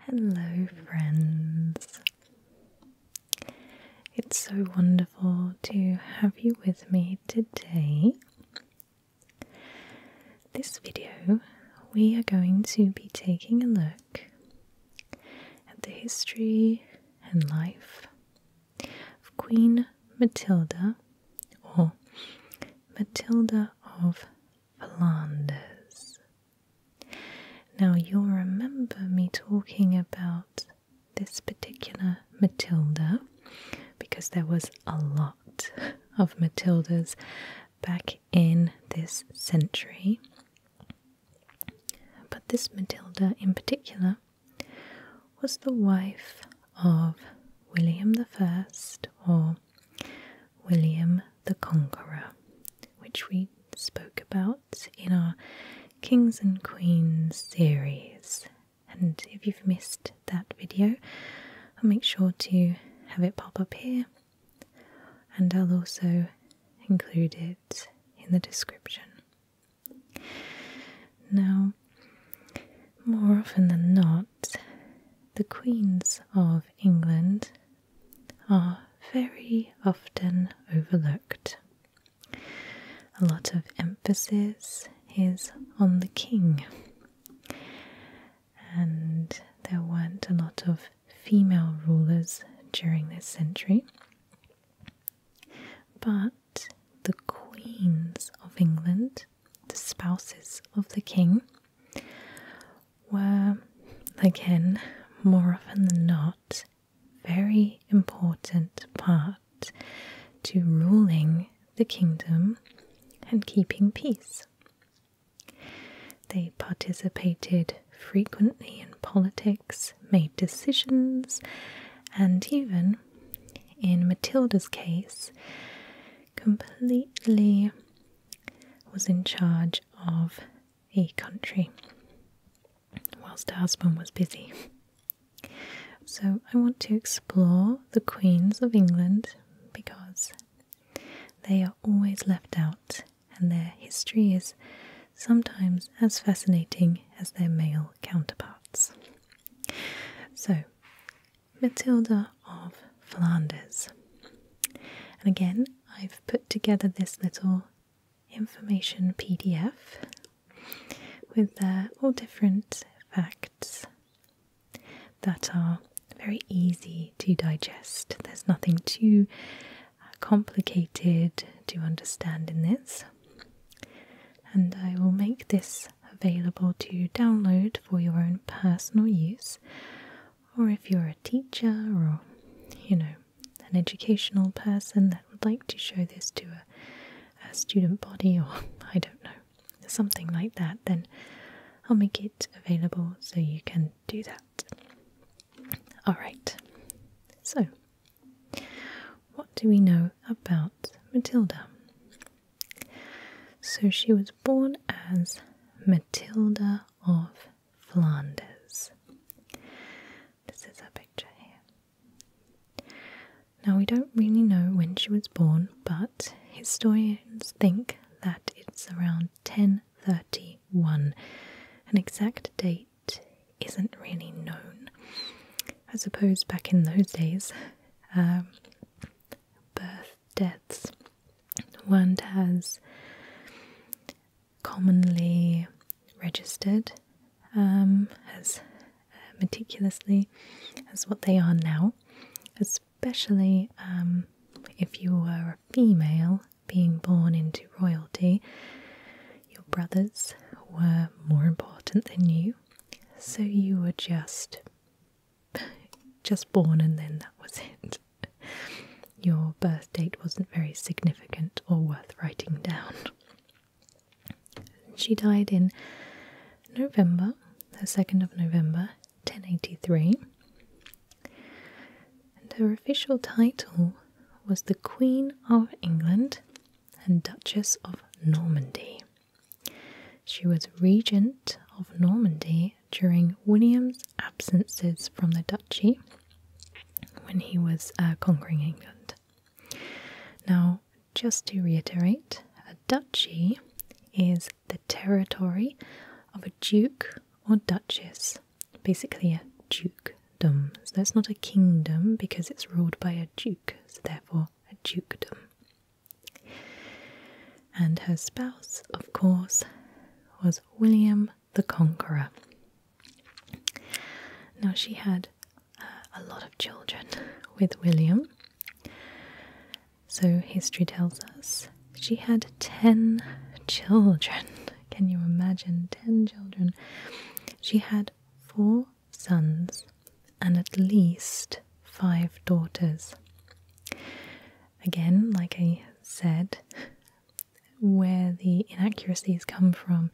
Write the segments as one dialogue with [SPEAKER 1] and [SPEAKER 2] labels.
[SPEAKER 1] Hello, friends. It's so wonderful to have you with me today. This video, we are going to be taking a look at the history and life of Queen Matilda or Matilda of Flanders. Now you'll remember me talking about this particular Matilda because there was a lot of Matildas back in this century. But this Matilda in particular was the wife of William the First, or William the Conqueror, which we spoke about in our Kings and Queens series. And if you've missed that video, I'll make sure to have it pop up here and I'll also include it in the description. Now, more often than not, the queens of England are very often overlooked. A lot of emphasis is on the king, and there weren't a lot of female rulers during this century. But the queens of England, the spouses of the king, were, again, more often than not, very important part to ruling the kingdom and keeping peace. They participated frequently in politics, made decisions, and even, in Matilda's case, completely was in charge of a country whilst her husband was busy. So, I want to explore the queens of England because they are always left out and their history is sometimes as fascinating as their male counterparts. So, Matilda of Flanders. And again, I've put together this little information PDF with uh, all different facts that are very easy to digest. There's nothing too uh, complicated to understand in this. And I will make this available to download for your own personal use or if you're a teacher or, you know, an educational person that would like to show this to a, a student body or, I don't know, something like that, then I'll make it available so you can do that. Alright, so what do we know about Matilda? So she was born as Matilda of Flanders. This is her picture here. Now, we don't really know when she was born, but historians think that it's around 1031. An exact date isn't really known. I suppose back in those days, um, birth deaths were commonly registered um, as uh, meticulously as what they are now, especially um, if you were a female being born into royalty. Your brothers were more important than you, so you were just just born and then that was it your birth date wasn't very significant or worth writing down. She died in November, the 2nd of November 1083, and her official title was the Queen of England and Duchess of Normandy. She was regent of Normandy during William's absences from the duchy when he was uh, conquering England. Now, just to reiterate, a duchy is the territory of a duke or duchess, basically a dukedom. So that's not a kingdom because it's ruled by a duke, so therefore a dukedom. And her spouse, of course, was William the Conqueror. Now, she had uh, a lot of children with William. So, history tells us she had 10 children. Can you imagine? 10 children. She had four sons and at least five daughters. Again, like I said, where the inaccuracies come from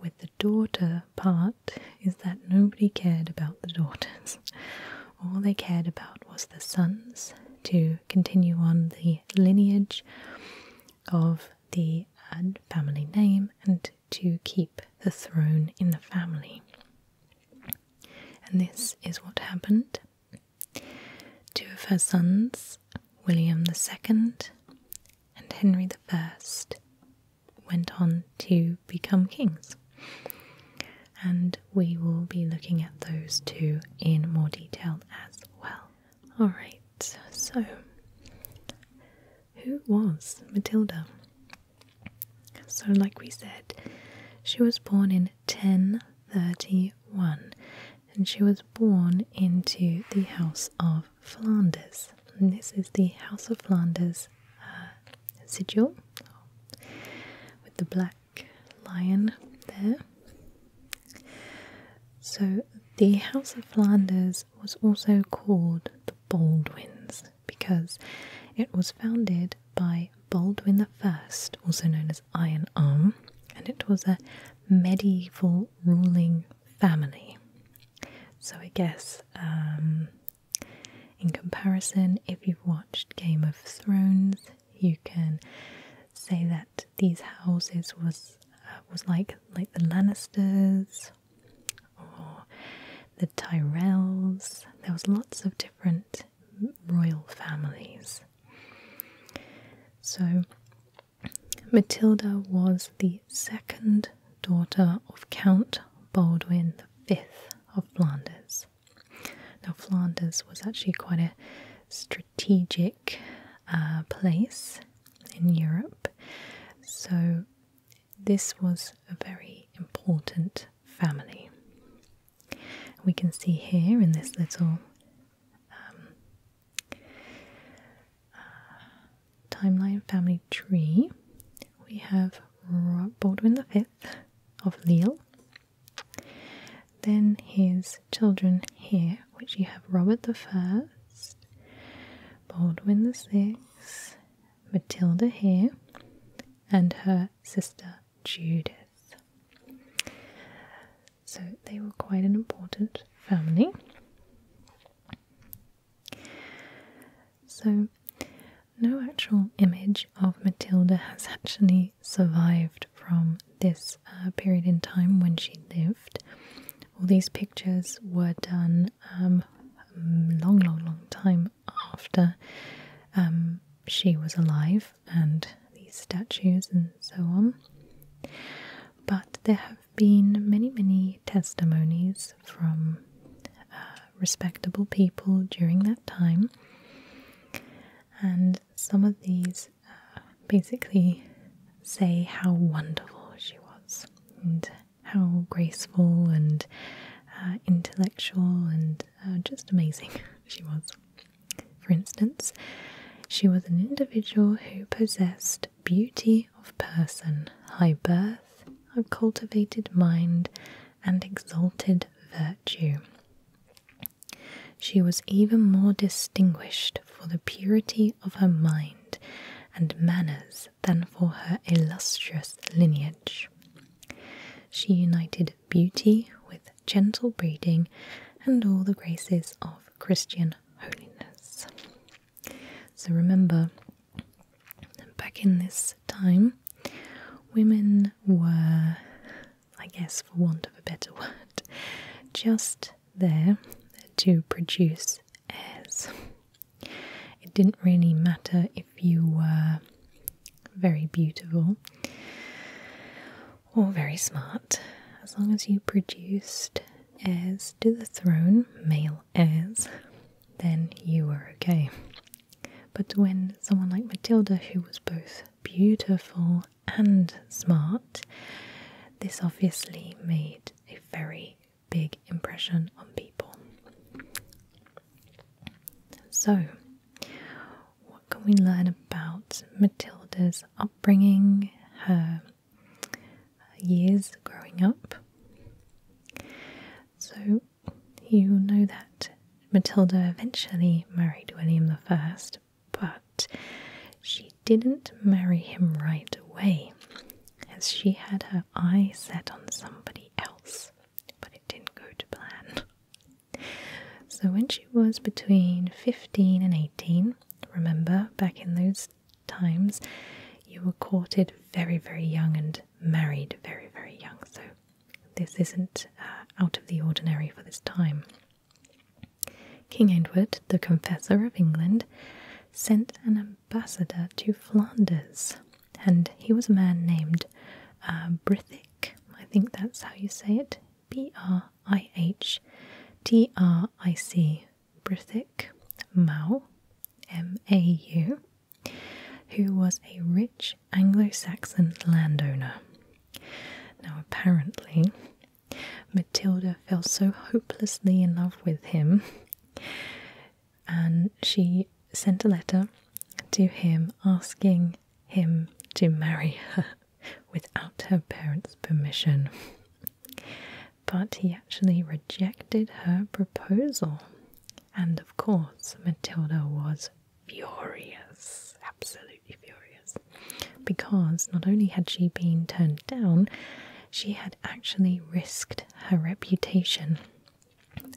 [SPEAKER 1] with the daughter part is that nobody cared about the daughters. All they cared about was the sons to continue on the lineage of the uh, family name and to keep the throne in the family. And this is what happened. Two of her sons, William II and Henry I, went on to become kings. And we will be looking at those two in more detail as well. Alright, so who was Matilda? So, like we said, she was born in 1031 and she was born into the House of Flanders. this is the House of Flanders uh, sigil with the black lion there. So the House of Flanders was also called the Baldwins because it was founded by Baldwin I, also known as Iron Arm, and it was a medieval ruling family. So I guess um, in comparison, if you've watched Game of Thrones, you can say that these houses was uh, was like like the Lannisters or the Tyrells. There was lots of different royal families. So Matilda was the second daughter of Count Baldwin V of Flanders. Now, Flanders was actually quite a strategic uh, place in Europe, so this was a very important family. We can see here in this little um, uh, timeline family tree. We have Baldwin V of Leal. Then his children here, which you have Robert the First, Baldwin the Sixth, Matilda here, and her sister Judith. So they were quite an important family. So, no actual image of Matilda has actually survived from this uh, period in time when she lived. All these pictures were done a um, long, long, long time after um, she was alive and these statues and so on. But there have been many, many testimonies from uh, respectable people during that time, and some of these uh, basically say how wonderful she was and how graceful and uh, intellectual and just amazing she was. For instance, she was an individual who possessed beauty of person, high birth, a cultivated mind, and exalted virtue. She was even more distinguished for the purity of her mind and manners than for her illustrious lineage. She united beauty with gentle breeding, and all the graces of Christian holiness. So remember, back in this time, women were, I guess, for want of a better word, just there to produce heirs. It didn't really matter if you were very beautiful all very smart. As long as you produced as to the throne, male as, then you were okay. But when someone like Matilda, who was both beautiful and smart, this obviously made a very big impression on people. So, what can we learn about Matilda's upbringing, her years growing up. So you know that Matilda eventually married William the First, but she didn't marry him right away, as she had her eye set on somebody else, but it didn't go to plan. So when she was between 15 and 18, Remember, back in those times, you were courted very, very young and married very, very young. So, this isn't uh, out of the ordinary for this time. King Edward, the Confessor of England, sent an ambassador to Flanders, and he was a man named uh, Brithic. I think that's how you say it. B R I H T R I C Brithik Mau M A U, who was a rich Anglo Saxon landowner. Now, apparently, Matilda fell so hopelessly in love with him, and she sent a letter to him asking him to marry her without her parents' permission. But he actually rejected her proposal. And of course, Matilda was furious, absolutely furious, because not only had she been turned down, she had actually risked her reputation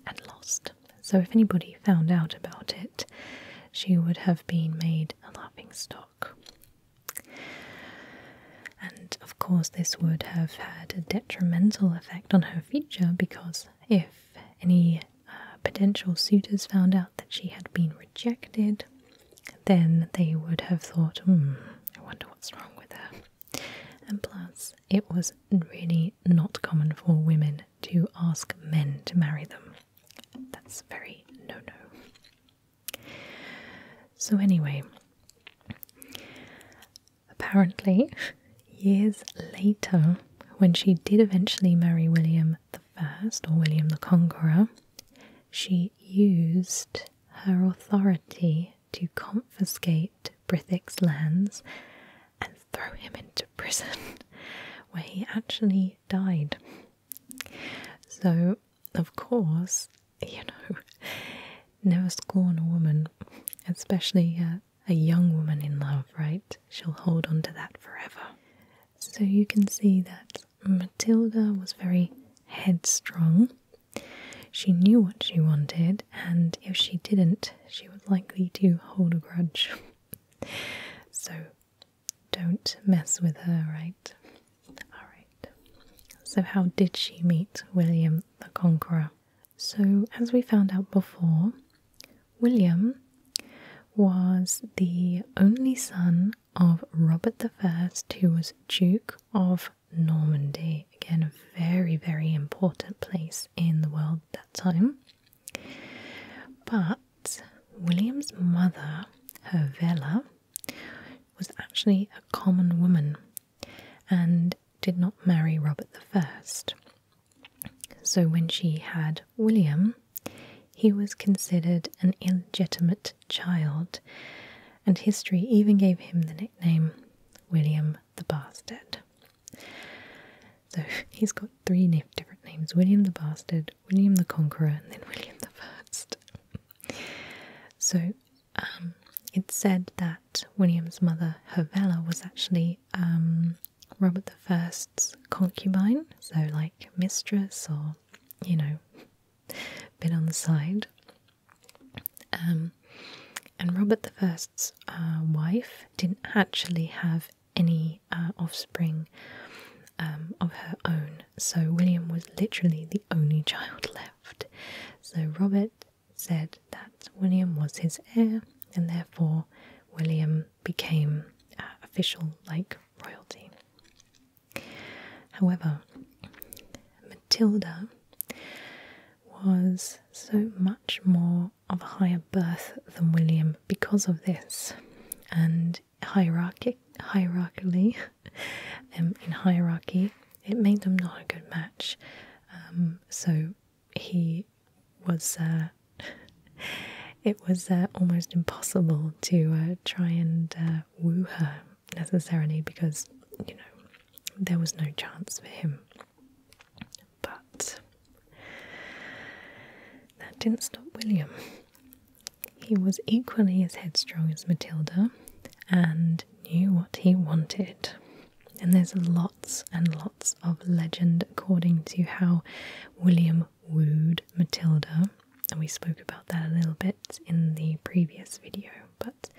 [SPEAKER 1] and lost. So, if anybody found out about it, she would have been made a laughing stock. And of course, this would have had a detrimental effect on her future because if any uh, potential suitors found out that she had been rejected, then they would have thought, hmm, I wonder what's wrong with her. And plus, it was really not common for women to ask men to marry them. That's very no no. So, anyway, apparently, years later, when she did eventually marry William the First, or William the Conqueror, she used her authority to confiscate Brithwick's lands and throw him into prison, where he actually died. So, of course, you know, never scorn a woman, especially a, young woman in love, right? She'll hold on to that forever. So, you can see that Matilda was very headstrong. She knew what she wanted, and if she didn't, she was likely to hold a grudge. so, don't mess with her, right? Alright. So, how did she meet William the Conqueror? So, as we found out before, William was the only son of Robert I, who was Duke of Normandy. Again, a very, very important place in the world at that time. But William's mother, her Hervella, was actually a common woman and did not marry Robert the First. So when she had William, he was considered an illegitimate child, and history even gave him the nickname William the Bastard. So he's got three different names William the Bastard, William the Conqueror and then William the First. so um, it's said that William's mother, Hervella, was actually um, Robert the First's concubine, so like mistress or you know, bit on the side. Um, and Robert the First's uh, wife didn't actually have any uh, offspring of her own so William was literally the only child left. So Robert said that William was his heir, and therefore William became uh, official like royalty. However, Matilda was so much more of a higher birth than William because of this, and hierarchic, hierarchically, um, in hierarchy, it made them not a good match. Um, so he was. Uh, it was uh, almost impossible to uh, try and uh, woo her necessarily because you know there was no chance for him. But that didn't stop William. He was equally as headstrong as Matilda and knew what he wanted. And there's lots and lots of legend according to how William wooed Matilda. And we spoke about that a little bit in the previous video, but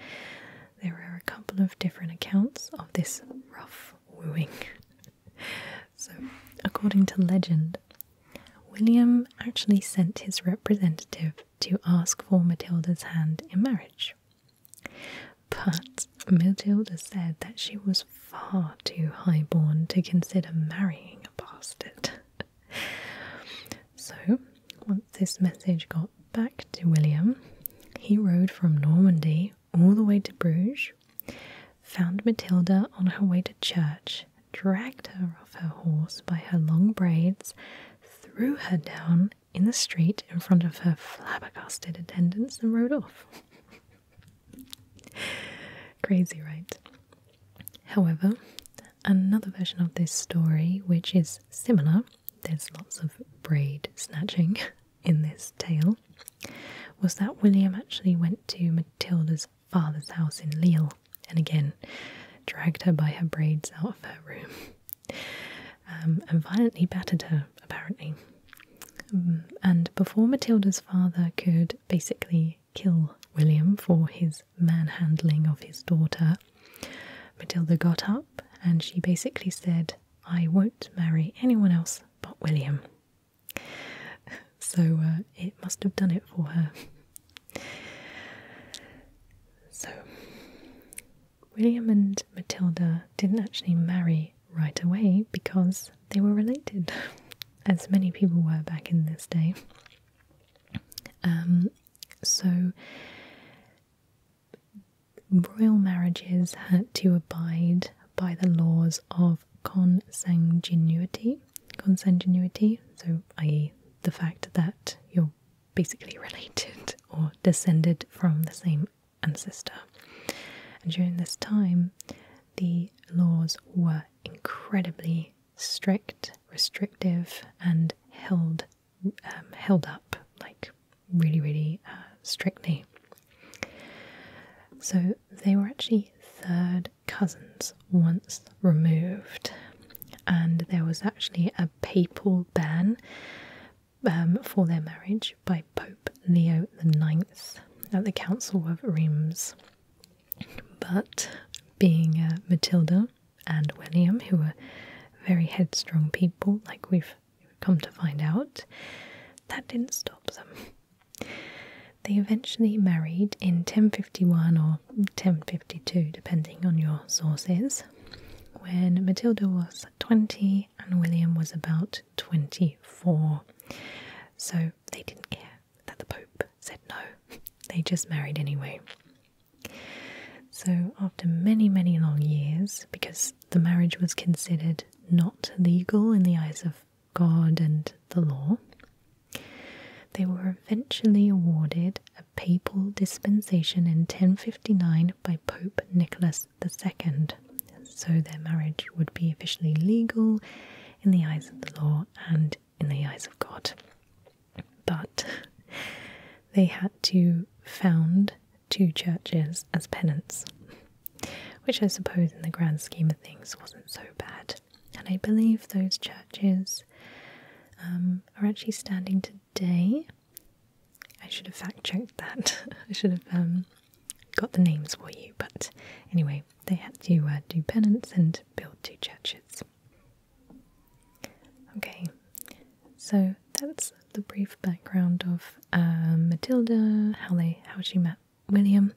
[SPEAKER 1] there are a couple of different accounts of this rough wooing. so, according to legend, William actually sent his representative to ask for Matilda's hand in marriage. But Matilda said that she was far too highborn to consider marrying a bastard. so, once this message got back to William, he rode from Normandy all the way to Bruges, found Matilda on her way to church, dragged her off her horse by her long braids, threw her down in the street in front of her flabbergasted attendants, and rode off. Crazy, right? However, another version of this story, which is similar, there's lots of braid snatching in this tale, was that William actually went to Matilda's father's house in Lille and again dragged her by her braids out of her room um, and violently battered her, apparently. Um, and before Matilda's father could basically kill William for his manhandling of his daughter, Matilda got up and she basically said, I won't marry anyone else but William. So uh, it must have done it for her. So, William and Matilda didn't actually marry right away because they were related, as many people were back in this day. Um, so, royal marriages had to abide by the laws of consanguinity, consanguinity, so i.e., the fact that you're basically related or descended from the same ancestor. And during this time, the laws were incredibly strict, restrictive, and held um, held up like really, really uh, strictly. So they were actually third cousins once removed, and there was actually a papal ban um, for their marriage by Pope Leo IX at the Council of Reims. But being uh, Matilda and William, who were very headstrong people, like we've come to find out, that didn't stop them. They eventually married in 1051 or 1052, depending on your sources, when Matilda was 20 and William was about 24. So they didn't care that the Pope said no, they just married anyway. So, after many, many long years, because the marriage was considered not legal in the eyes of God and the law, they were eventually awarded a papal dispensation in 1059 by Pope Nicholas II, so their marriage would be officially legal in the eyes of the law and in the eyes of God. But they had to found two churches as penance, which I suppose, in the grand scheme of things, wasn't so bad. And I believe those churches um, are actually standing today. I should have fact checked that. I should have um, got the names for you, but anyway, they had to uh, do penance and build two churches. Okay, so that's the brief background of uh, Matilda, how they how she met William.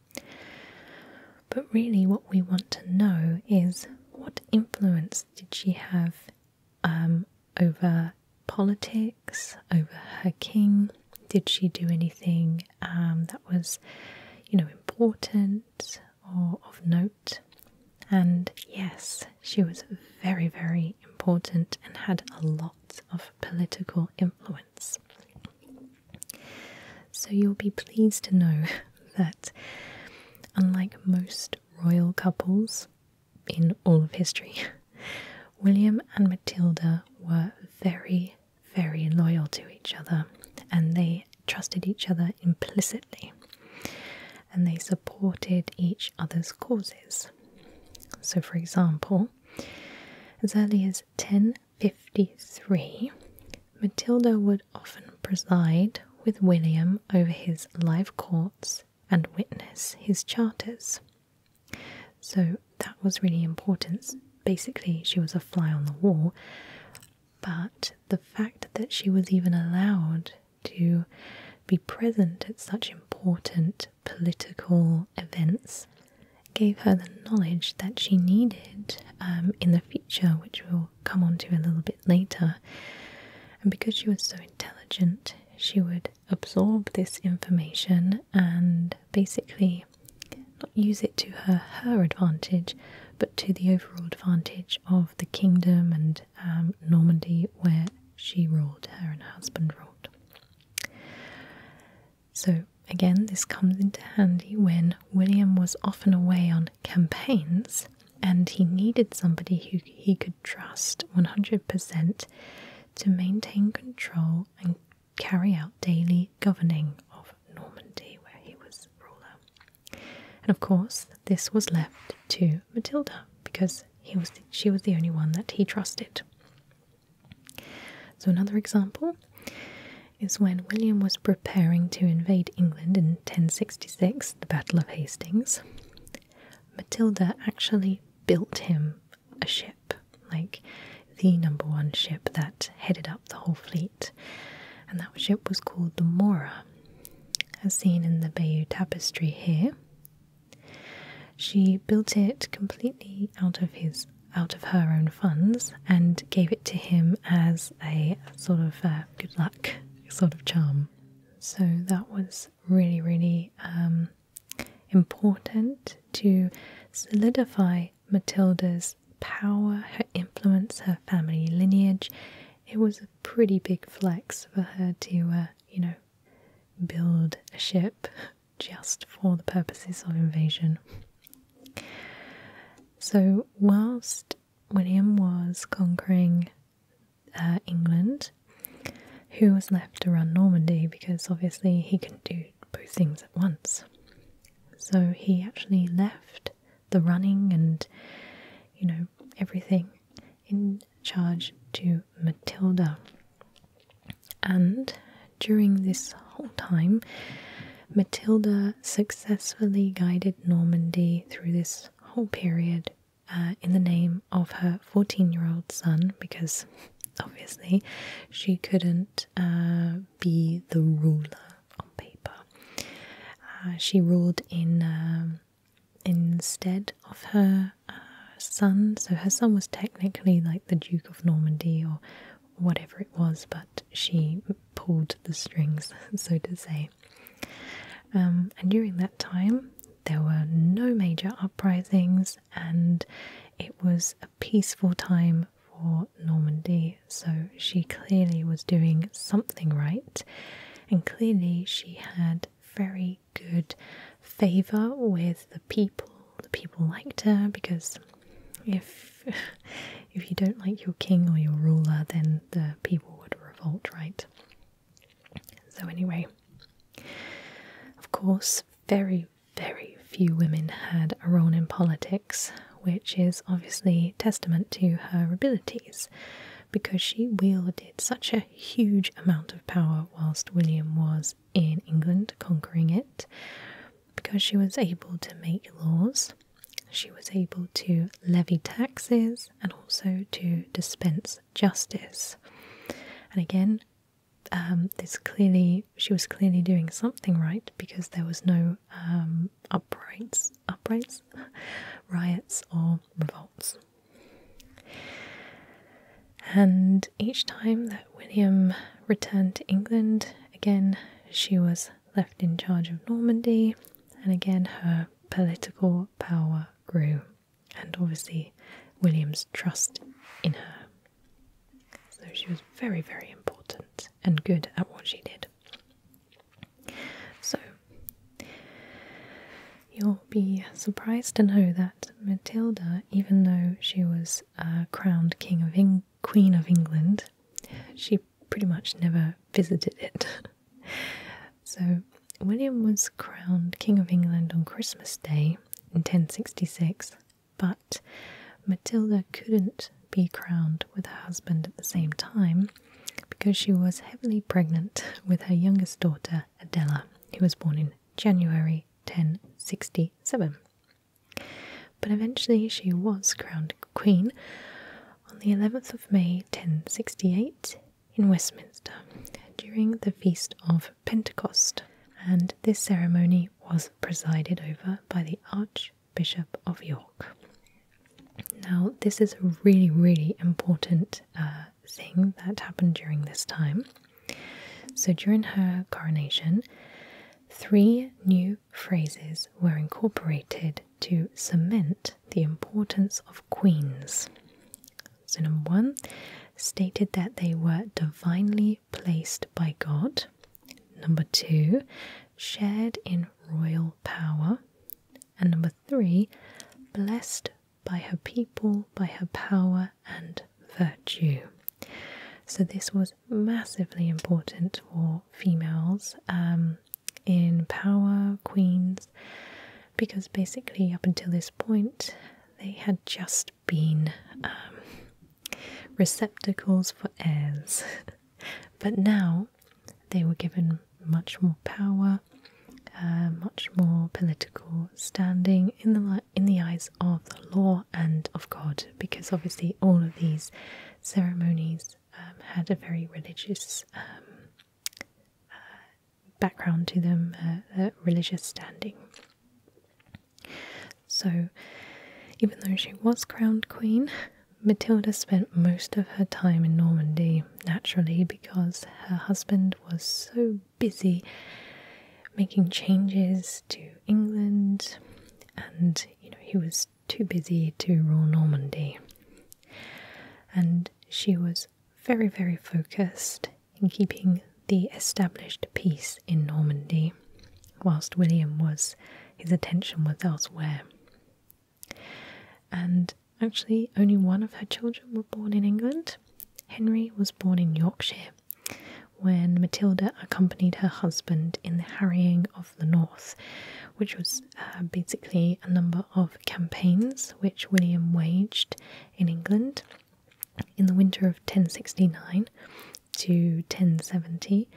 [SPEAKER 1] But really, what we want to know is what influence did she have um, over politics, over her king? Did she do anything um, that was, you know, important or of note? And yes, she was very, very important and had a lot of political influence. So you'll be pleased to know that, unlike most royal couples in all of history, William and Matilda were very, very loyal to each other and they trusted each other implicitly and they supported each other's causes. So, for example, as early as 1053, Matilda would often preside with William over his live courts and witness his charters. So that was really important. Basically, she was a fly on the wall, but the fact that she was even allowed to be present at such important political events gave her the knowledge that she needed um, in the future, which will will come onto a little bit later. And because she was so intelligent, she would absorb this information and basically not use it to her her advantage, but to the overall advantage of the kingdom and um, Normandy where she ruled, her and her husband ruled. So again, this comes into handy when William was often away on campaigns, and he needed somebody who he could trust 100% to maintain control and carry out daily governing of Normandy, where he was ruler. And of course, this was left to Matilda because he was she was the only one that he trusted. So another example is when William was preparing to invade England in 1066 the Battle of Hastings, Matilda actually built him a ship, like the number one ship that headed up the whole fleet. And that ship was called the Mora, as seen in the Bayeux Tapestry here. She built it completely out of his out of her own funds and gave it to him as a sort of uh, good luck sort of charm. So that was really, really um, important to solidify Matilda's power, her influence, her family lineage. It was a pretty big flex for her to, uh, you know, build a ship just for the purposes of invasion. So, whilst William was conquering uh, England, who was left to run Normandy because obviously he couldn't do both things at once. So he actually left the running and, you know, everything in charge to Matilda. And during this whole time, Matilda successfully guided Normandy through this whole period uh, in the name of her 14 year old son because obviously she couldn't uh, be the ruler on paper. Uh, she ruled in um, instead of her son, so her son was technically like the Duke of Normandy or whatever it was, but she pulled the strings, so to say. Um, and during that time, there were no major uprisings, and it was a peaceful time for Normandy, so she clearly was doing something right, and clearly she had very good favour with the people. The people liked her because if if you don't like your king or your ruler, then the people would revolt, right? So, anyway, of course, very, very few women had a role in politics, which is obviously testament to her abilities because she wielded such a huge amount of power whilst William was in England conquering it. Because she was able to make laws, she was able to levy taxes, and also to dispense justice. And again, um, this clearly she was clearly doing something right because there was no um, uprights, uprights, riots or revolts. And each time that William returned to England, again she was left in charge of Normandy, and again her political power grew, and obviously William's trust in her. So she was very, very important and good at what she did. So, you'll be surprised to know that Matilda, even though she was uh, crowned King of Queen of England, she pretty much never visited it. so, William was crowned King of England on Christmas Day in 1066, but Matilda couldn't be crowned with her husband at the same time because she was heavily pregnant with her youngest daughter Adela, who was born in January 1067. But eventually she was crowned Queen on the 11th of May 1068 in Westminster during the Feast of Pentecost, and this ceremony was presided over by the Archbishop of York. Now, this is a really, really important uh, thing that happened during this time. So, during her coronation, three new phrases were incorporated to cement the importance of queens. So, number one, stated that they were divinely placed by God. Number two, shared in royal power. And number three, blessed by her people, by her power and virtue. So, this was massively important for females um, in power, queens, because basically up until this point they had just been um, receptacles for heirs. but now they were given much more power, uh, much more political standing in the in the eyes of the law and of God, because obviously all of these ceremonies um, had a very religious um, uh, background to them, uh, religious standing. So, even though she was crowned queen, Matilda spent most of her time in Normandy naturally because her husband was so busy making changes to England and you know he was too busy to rule Normandy. And she was very, very focused in keeping the established peace in Normandy, whilst William was, his attention was elsewhere. And actually, only one of her children were born in England. Henry was born in Yorkshire when Matilda accompanied her husband in the harrying of the north, which was uh, basically a number of campaigns which William waged in England in the winter of 1069 to 1070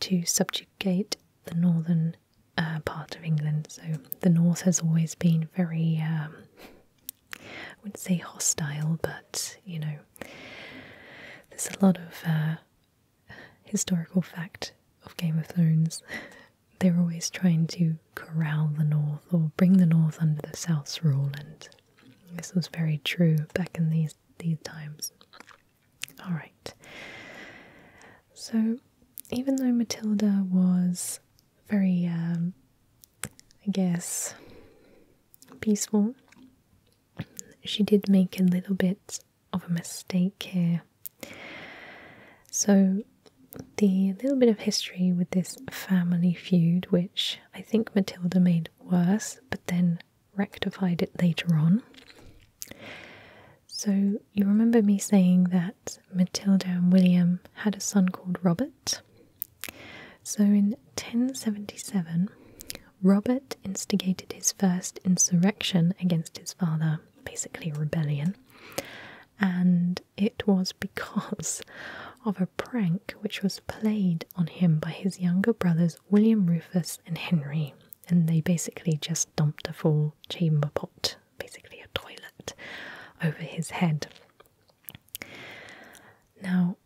[SPEAKER 1] to subjugate the northern uh, part of England. So the north has always been very, I um, wouldn't say hostile, but you know, there's a lot of uh, historical fact of Game of Thrones they were always trying to corral the North or bring the North under the South's rule, and this was very true back in these these times. All right. So, even though Matilda was very, um, I guess, peaceful, she did make a little bit of a mistake here so, the little bit of history with this family feud, which I think Matilda made worse, but then rectified it later on. So, you remember me saying that Matilda and William had a son called Robert? So, in 1077, Robert instigated his first insurrection against his father, basically a rebellion, and it was because of a prank which was played on him by his younger brothers William Rufus and Henry, and they basically just dumped a full chamber pot, basically a toilet, over his head. Now,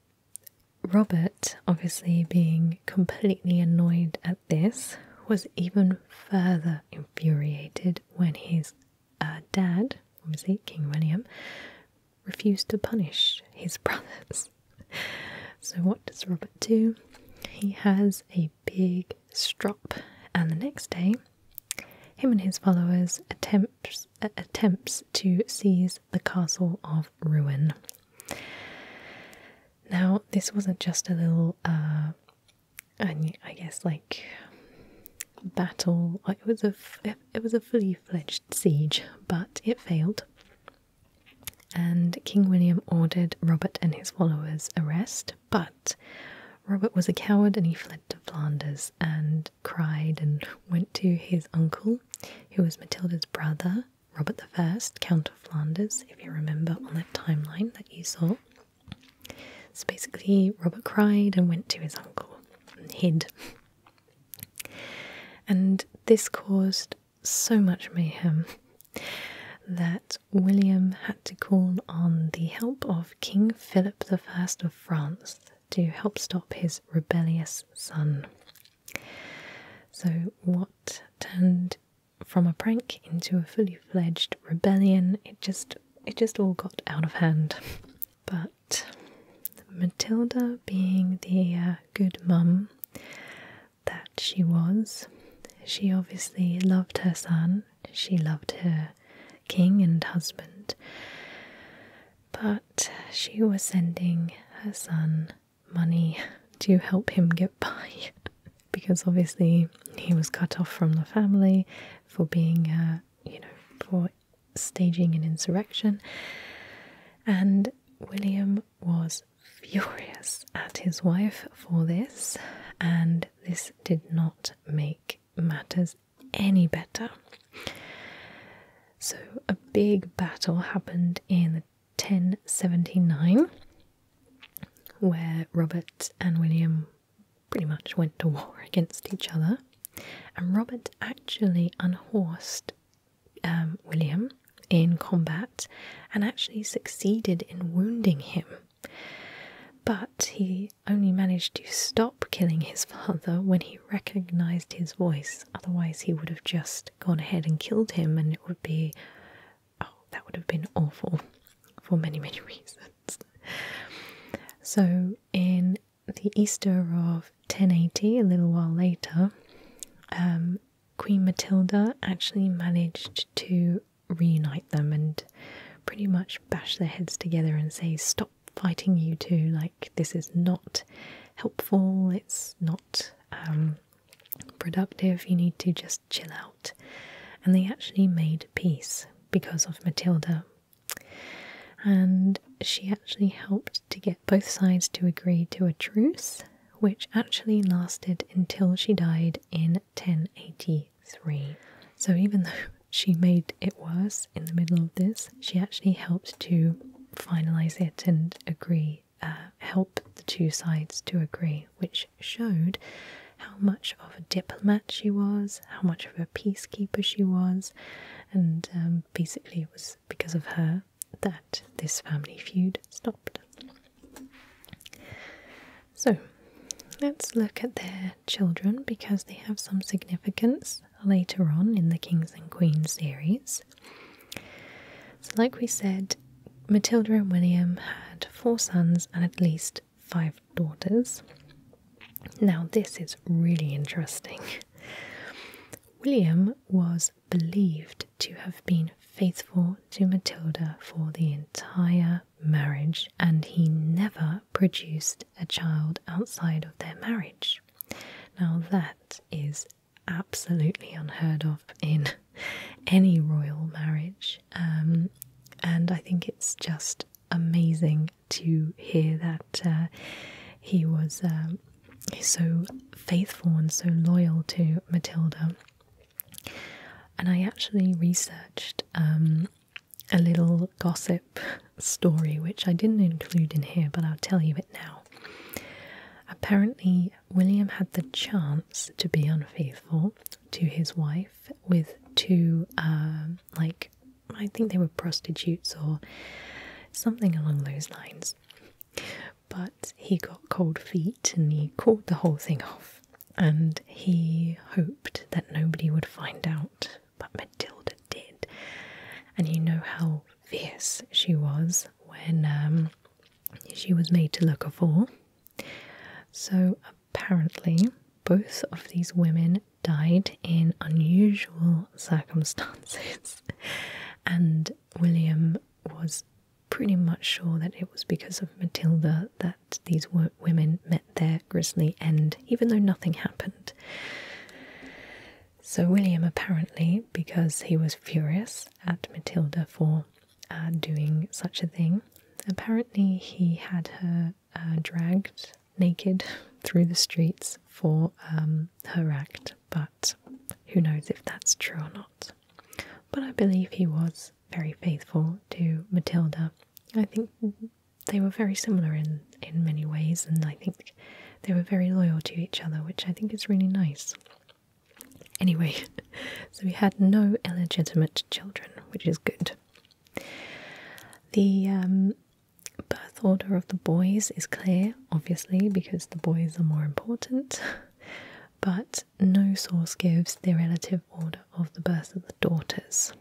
[SPEAKER 1] Robert, obviously being completely annoyed at this, was even further infuriated when his uh, dad, obviously King William, refused to punish his brothers. so, what does Robert do? He has a big strop, and the next day, him and his followers attempts uh, attempts to seize the castle of ruin. Now, this wasn't just a little uh, and I guess like battle. It was a it was a fully fledged siege, but it failed. And King William ordered Robert and his followers arrest, but Robert was a coward and he fled to Flanders and cried and went to his uncle, who was Matilda's brother, Robert I, Count of Flanders, if you remember on that timeline that you saw. So basically, Robert cried and went to his uncle and hid. And this caused so much mayhem that William had to call on the help of King Philip I of France to help stop his rebellious son. So, what turned from a prank into a fully fledged rebellion, it just it just all got out of hand. But Matilda, being the uh, good mum that she was, she obviously loved her son, she loved her king and husband, but she was sending her son money to help him get by because obviously he was cut off from the family for being, uh, you know, for staging an insurrection. And William was furious at his wife for this, and this did not make matters any better. So, a big battle happened in 1079 where Robert and William pretty much went to war against each other. And Robert actually unhorsed um, William in combat and actually succeeded in wounding him. But he only managed to stop killing his father when he recognized his voice. Otherwise, he would have just gone ahead and killed him, and it would be. Oh, that would have been awful for many, many reasons. So, in the Easter of 1080, a little while later, um, Queen Matilda actually managed to reunite them and pretty much bash their heads together and say, Stop fighting, you two. Like, this is not helpful, it's not um, productive, you need to just chill out." and they actually made peace because of Matilda. And she actually helped to get both sides to agree to a truce, which actually lasted until she died in 1083. So, even though she made it worse in the middle of this, she actually helped to finalize it and agree, uh, help the two sides to agree, which showed how much of a diplomat she was, how much of a peacekeeper she was, and um, basically it was because of her that this family feud stopped. So let's look at their children because they have some significance later on in the Kings and Queens series. So, like we said, Matilda and William had four sons and at least five daughters. Now, this is really interesting. William was believed to have been faithful to Matilda for the entire marriage, and he never produced a child outside of their marriage. Now, that is absolutely unheard of in any royal marriage. Um, and I think it's just amazing to hear that uh, he was um, so faithful and so loyal to Matilda. And I actually researched um, a little gossip story, which I didn't include in here, but I'll tell you it now. Apparently, William had the chance to be unfaithful to his wife with two uh, like I think they were prostitutes or something along those lines. But he got cold feet and he called the whole thing off, and he hoped that nobody would find out. But Matilda did, and you know how fierce she was when um, she was made to look a fool. So Apparently, both of these women died in unusual circumstances, and William was pretty much sure that it was because of Matilda that these women met their grisly end, even though nothing happened. So, William apparently, because he was furious at Matilda for uh, doing such a thing, apparently he had her uh, dragged naked through the streets for um, her act, but who knows if that's true or not. But I believe he was very faithful to Matilda. I think they were very similar in, in many ways, and I think they were very loyal to each other, which I think is really nice. Anyway, so he had no illegitimate children, which is good. The um, birth order of the boys is clear, obviously, because the boys are more important, but no source gives the relative order of the birth of the daughters.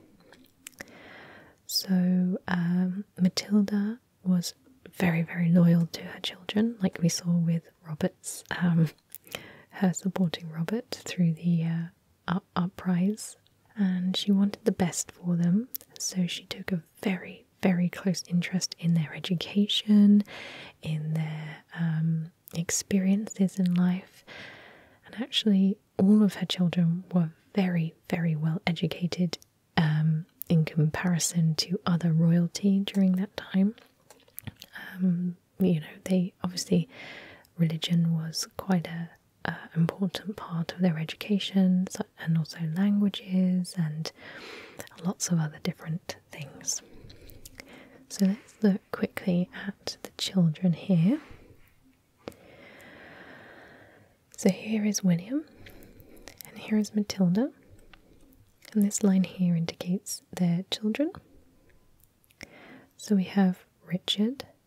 [SPEAKER 1] So um, Matilda was very, very loyal to her children, like we saw with Robert's, um, her supporting Robert through the uh, Uprise, and she wanted the best for them, so she took a very, very close interest in their education, in their um, experiences in life, and actually, all of her children were very, very well educated um, in comparison to other royalty during that time. Um, you know, they obviously religion was quite a uh, important part of their education and also languages and lots of other different things. So let's look quickly at the children here. So here is William, and here is Matilda, and this line here indicates their children. So we have Richard,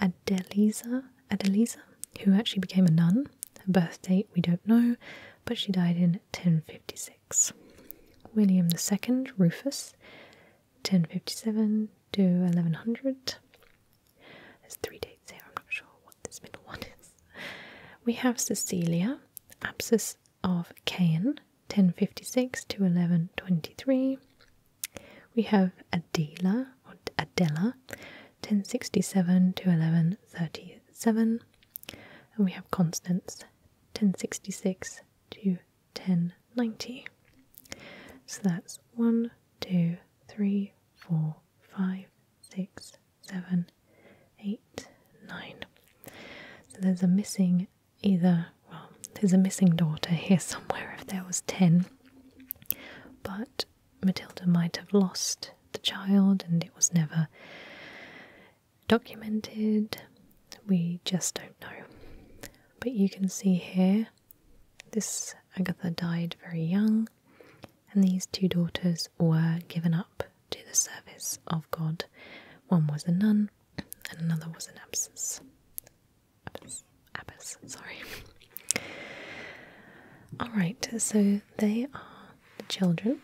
[SPEAKER 1] Adeliza, Adeliza, who actually became a nun. Her birth date we don't know, but she died in 1056. William II, Rufus, 1057 to 1100. There's three dates here, I'm not sure what this middle one is. We have Cecilia, Abscess of Caen, 1056 to 1123. We have Adela or Adela, 1067 to 1137, and we have Constance, 1066 to 1090. So that's 1, 2, 3, 4, 5, 6, 7, 8, 9. So there's a missing either well, there's a missing daughter here somewhere if there was 10. But Matilda might have lost the child and it was never documented. We just don't know. But you can see here this Agatha died very young, and these two daughters were given up to the service of God. One was a nun, and another was an abscess. Abbas. Abbas, sorry. Alright, so they are the children.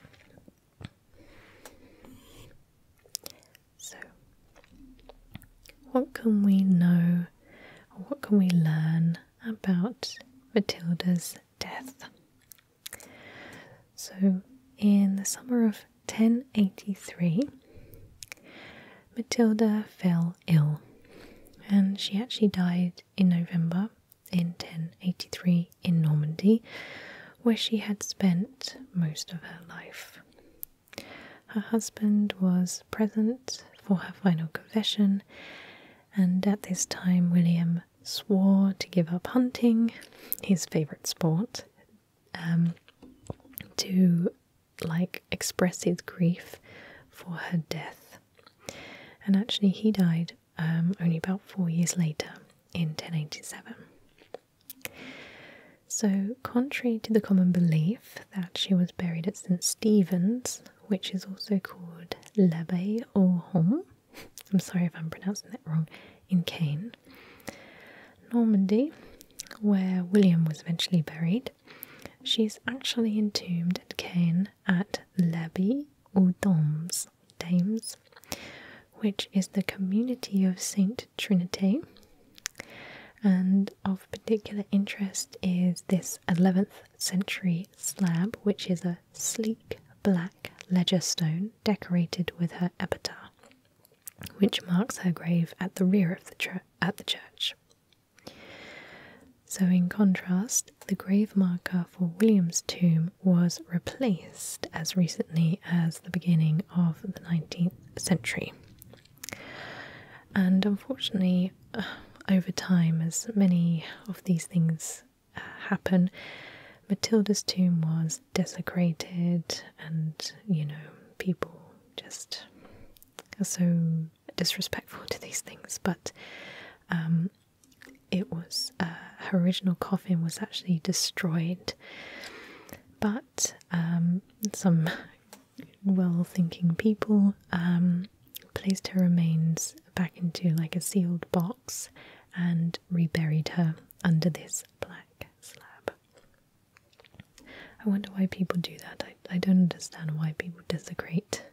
[SPEAKER 1] So, what can we know, what can we learn about Matilda's death? So, in the summer of 1083, Matilda fell ill, and she actually died in November in 1083 in Normandy, where she had spent most of her life. Her husband was present for her final confession, and at this time, William swore to give up hunting, his favourite sport, um, to like express his grief for her death. And actually, he died um, only about four years later in 1087. So, contrary to the common belief that she was buried at St Stephen's, which is also called L'Abbaye aux Hommes, I'm sorry if I'm pronouncing that wrong, in Caen, Normandy, where William was eventually buried, she is actually entombed at Caen at L'Abbey aux Dames, which is the community of Saint Trinity. And of particular interest is this 11th century slab, which is a sleek black ledger stone decorated with her epitaph, which marks her grave at the rear of the church. So, in contrast, the grave marker for William's tomb was replaced as recently as the beginning of the 19th century. And unfortunately, uh, over time, as many of these things uh, happen, Matilda's tomb was desecrated, and you know, people just so disrespectful to these things, but um, it was uh, her original coffin was actually destroyed. But um, some well-thinking people um, placed her remains back into like a sealed box and reburied her under this black slab. I wonder why people do that. I, don't understand why people desecrate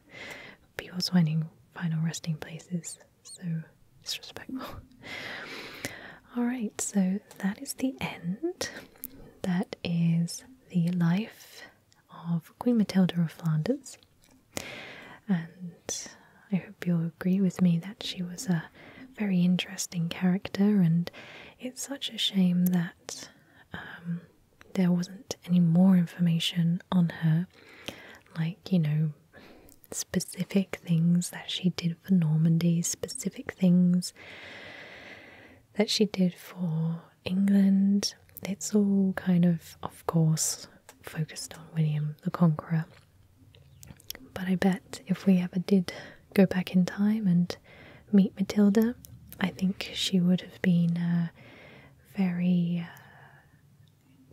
[SPEAKER 1] people's final resting places. So disrespectful. Alright, so that is the end. That is the life of Queen Matilda of Flanders. And I hope you'll agree with me that she was a very interesting character, and it's such a shame that um, there wasn't any more information on her, like, you know, specific things that she did for Normandy, specific things that she did for England. It's all kind of, of course, focused on William the Conqueror. But I bet if we ever did go back in time and meet Matilda. I think she would have been uh, very uh,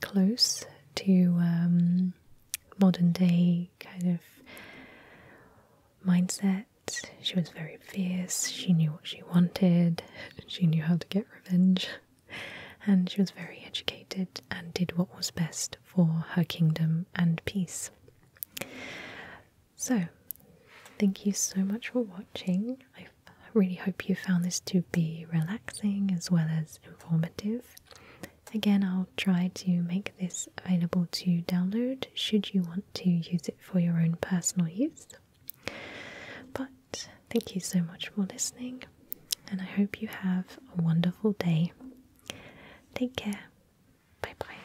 [SPEAKER 1] close to um, modern day kind of mindset. She was very fierce, she knew what she wanted, she knew how to get revenge, and she was very educated and did what was best for her kingdom and peace. So, thank you so much for watching. I really hope you found this to be relaxing as well as informative. Again, I'll try to make this available to download should you want to use it for your own personal use. But thank you so much for listening, and I hope you have a wonderful day. Take care. Bye bye.